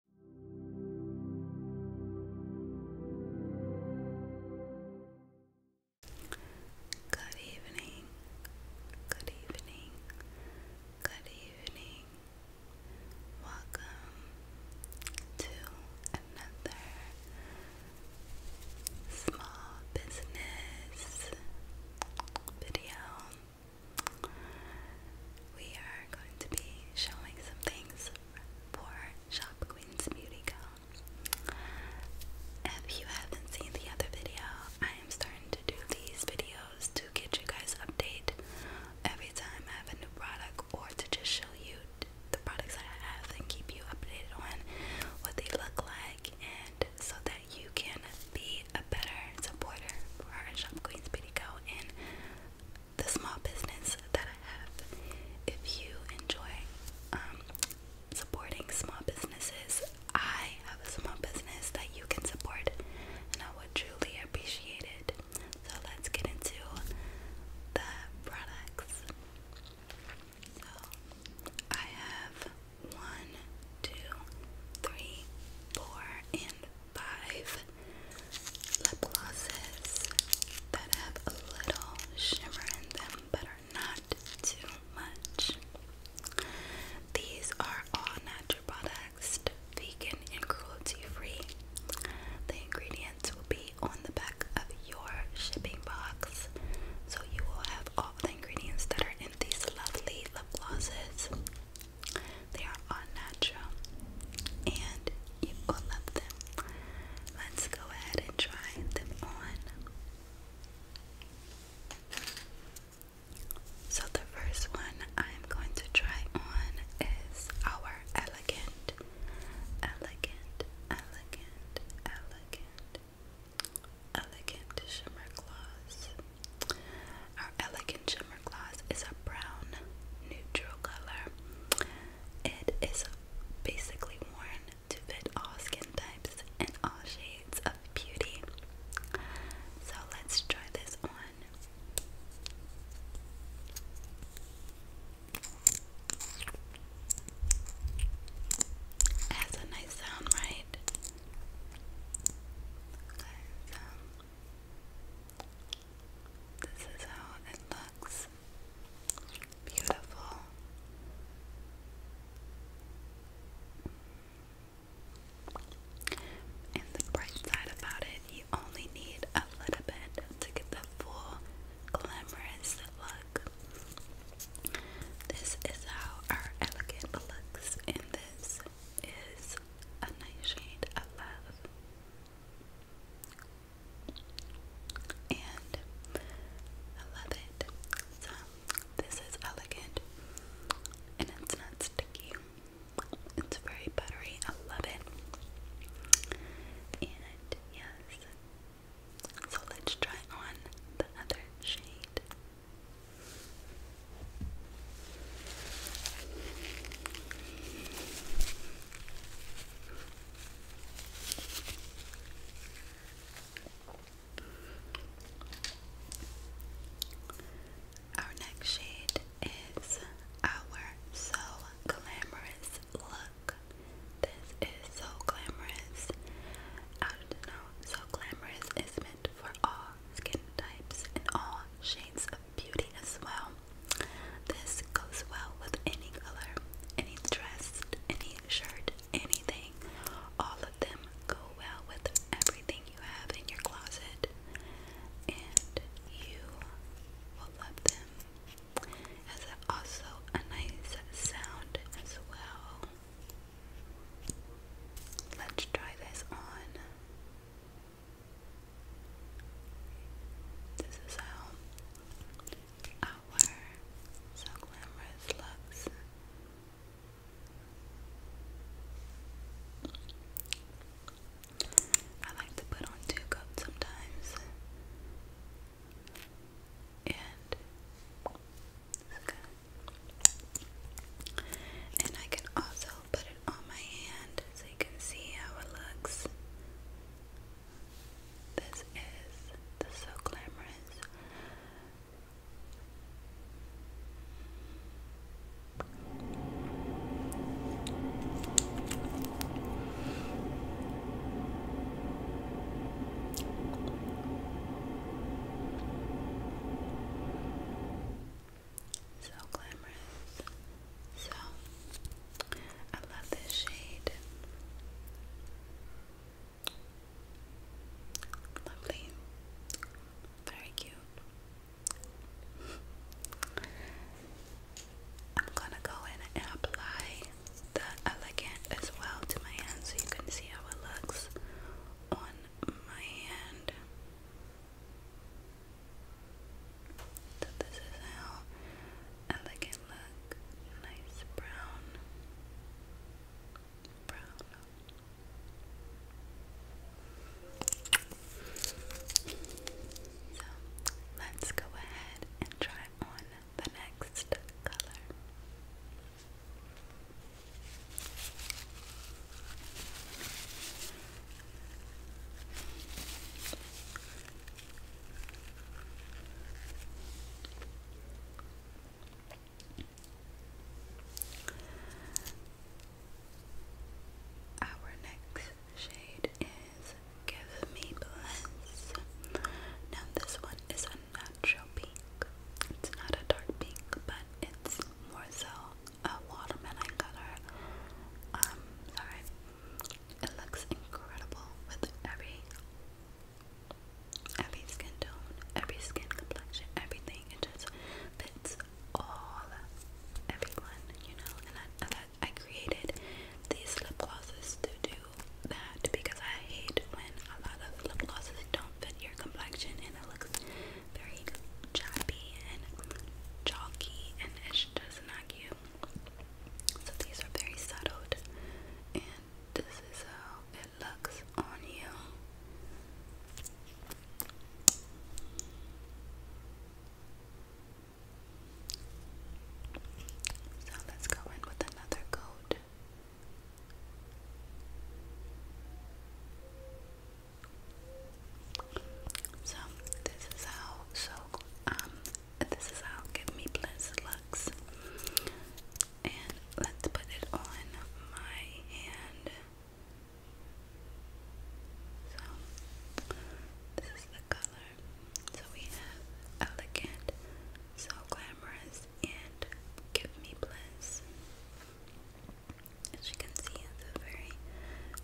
Good evening, good evening, good evening. Welcome to another small business video. We are going to be showing some things for Shop Queen's Beauty Co. If you haven't seen the other video, I am starting to do these videos to get you guys updated every time I have a new product or to just show you the products I have and keep you updated on what they look like and so that you can be a better supporter for our Shop Queen's Beauty Co. and the small business that I have. If you enjoy um, supporting small businesses, I have a small business that you can support, and I would truly appreciate it. So let's get into the products. So I have one, two, three, four, and five lip glosses that have a little shimmer in them but are not too much. These are all natural products, vegan and cruelty free. The ingredients will be on the back of your shipping box, so you will have all the ingredients that are in these lovely lip glosses. They are all natural and you will love them. Let's go ahead and try them on. So, the first one I'm going to try on is our elegant, elegant, elegant, elegant, elegant shimmer gloss. Our Elegant Shimmer Gloss is a brown neutral color. It is basically worn to fit all skin types and all shades of beauty. So let's try this on. It a nice sound, right? Um, this is how it looks. Beautiful. And the bright side about it, you only need a little bit to get the full glamorous look. This is how our elegant looks, and this is a nice shade of love and I love it. So this is elegant and it's not sticky. It's very buttery. I love it. And yes. So let's try on the other shade. Our next shade is our So Glamorous Look. This is so glamorous. I don't know, so glamorous is meant for all skin types and all shades of beauty as well. This goes well with any color, any dress, any shirt, anything. All of them go well with everything you have in your closet, and you will love them. As also a nice sound as well. Let's try this on. This is how our so glamorous looks. I like to put on two coats sometimes. And okay. and I can also put it on my hand so you can see how it looks. This is the So Glamorous so glamorous. So I love this shade. Lovely. Very cute. I'm gonna go and apply the elegant as well to my hand so you can see how it looks on my hand. So this is how elegant look. Nice brown. Brown. So let's go ahead and try on the next color. Our next shade is Give Me Bliss. Now, this one is a natural pink. It's not a dark pink, but it's more so a watermelon color. Um, sorry. It looks incredible with every every skin tone, every skin complexion, everything. It just fits all everyone, you know. And I, I, created these lip glosses to do that because I hate when a lot of lip glosses don't fit your complexion and it looks very choppy and chalky and it's finished snaggy. So these are very subtle, and this is how it looks on you. So let's go in with another coat. So this is how so um this is how give me bliss looks. And let's put it on my hand. So this is the color. So we have elegant, so glamorous, and give me bliss. As you can see, it's a very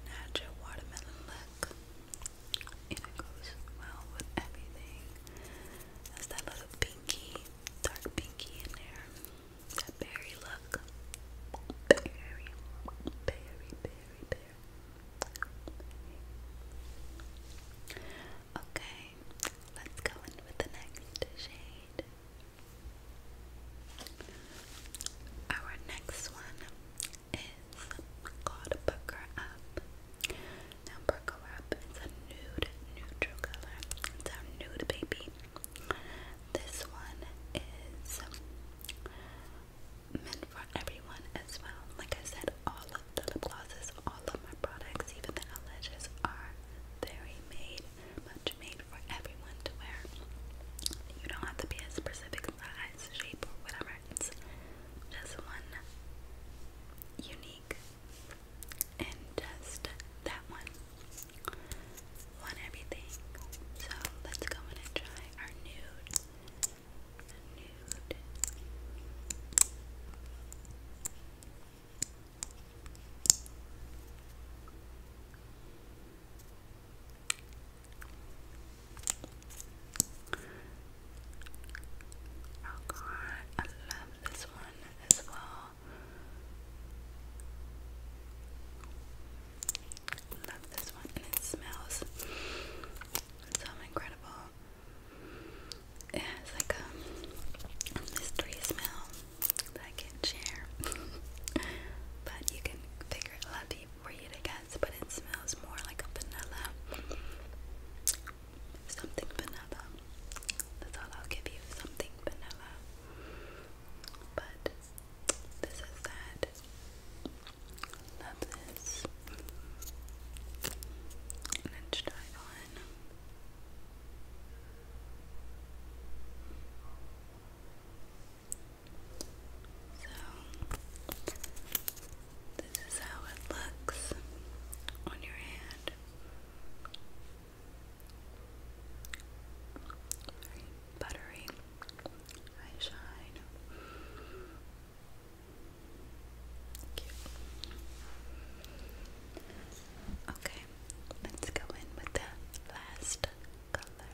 natural watermelon look. And it goes well with everything. That's that little pinky, dark pinky in there. That berry look. Berry, berry, berry, berry. Okay, let's go in with the next shade. Our next one is called Pucker Up. Now, Pucker is a nude neutral color. It's a nude baby. This one is meant for everyone as well. Like I said, all of the glosses, all of my products, even the eyelashes are very made, much made for everyone to wear. You don't have to be as specific as size, shape, or whatever. just one unique and just that one. One everything. So let's go in and try our Nude. Oh god, I love this one as well. Love this one, and it smells so incredible. It has like a mystery smell that I can't share, but you can figure it out for you guess but it smells more like a vanilla. Something vanilla. That's all I'll give you. Something vanilla. But this is that. Love this. let's try it so, this is how it looks on your hand. Very buttery. I shine. Cute. Okay, let's go in with the last color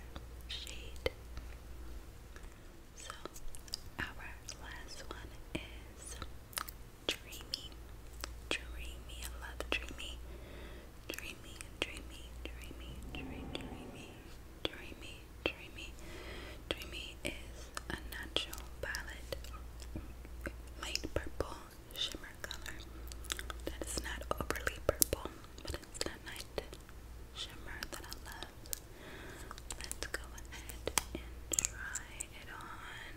shade. So, our last one is Dreamy. Dreamy. I Dreamy. Dreamy, dreamy, dreamy, dreamy, dreamy, dreamy, dreamy. Dreamy is a natural palette, light purple shimmer color that is not overly purple, but it's not night shimmer that I love. Let's go ahead and try it on.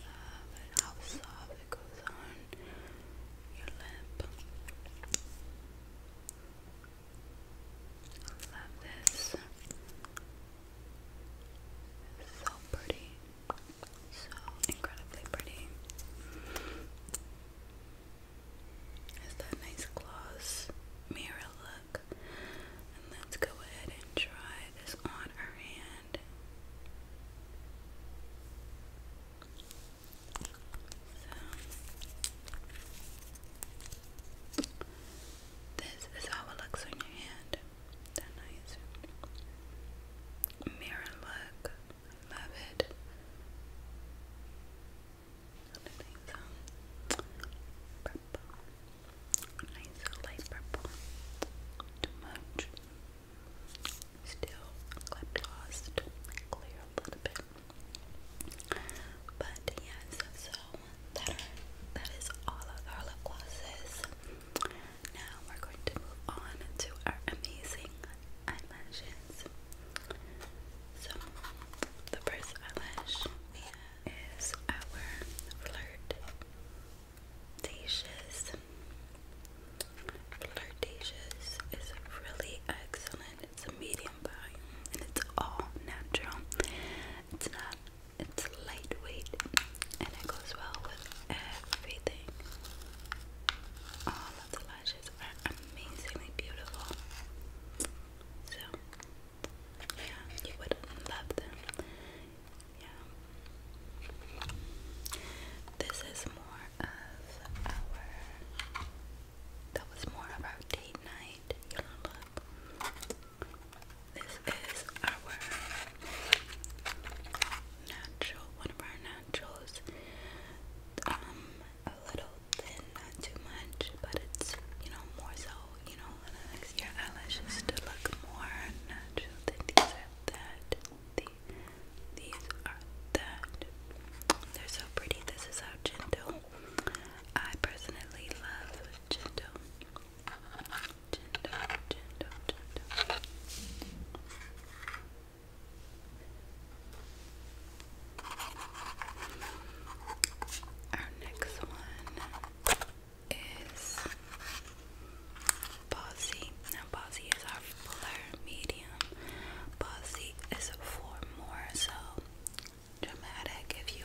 Love how soft it goes on your lip. love this. So pretty. So incredibly pretty. Is that nice gloss mirror look? let's go ahead and try this on our hand. this is how it looks on your hand that nice. Mirror look, I love it. So. Purple, nice light purple. Too much. Still lip clear a little bit. But yes, that that is all of our lip glosses. Now we're going to move on to our amazing eyelashes. So the first eyelash we have is our flirtatious. Flirtatious is really excellent. It's a medium volume and it's all natural. It's not it's lightweight and it goes well with everything. All of the lashes are amazingly beautiful. So, yeah, you would love them. Yeah. This is more of our. That was more of date night. This is our natural, one of our naturals. Um, a little thin, not too much, but it's you know more so. You know, your eyelashes to look more natural. Then these that. The, these are that. They're so pretty. This is how gentle. I personally love gentle. Tendo, Our next one is Bossy. Now, Bossy is our fuller medium. Bossy is for more so dramatic. If you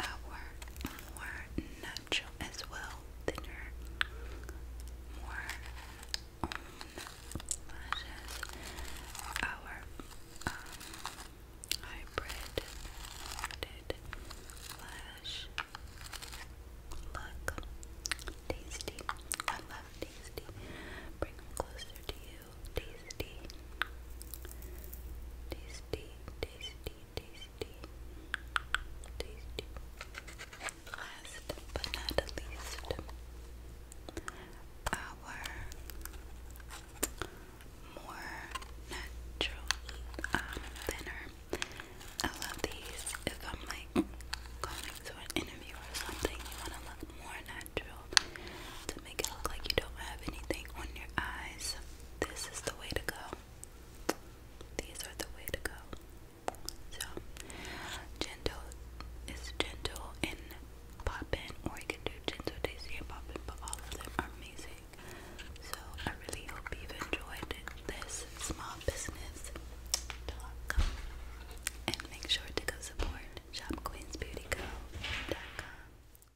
our more natural as well, thinner, more own our um, hybrid did lash look. Tasty. I love tasty. Bring closer to you. Tasty. Tasty tasty, tasty, tasty. Last but not least, our more natural um, I love these. If I'm like going to an interview or something, you want to look more natural make it look like you don't have anything on your eyes. This is the way to go. These are the way to go. So gentle is gentle and poppin', or you can do gentle daisy and poppin', but all of them are amazing. So I really hope you've enjoyed this small business talk. And make sure to go support shopqueensbeautyco.com.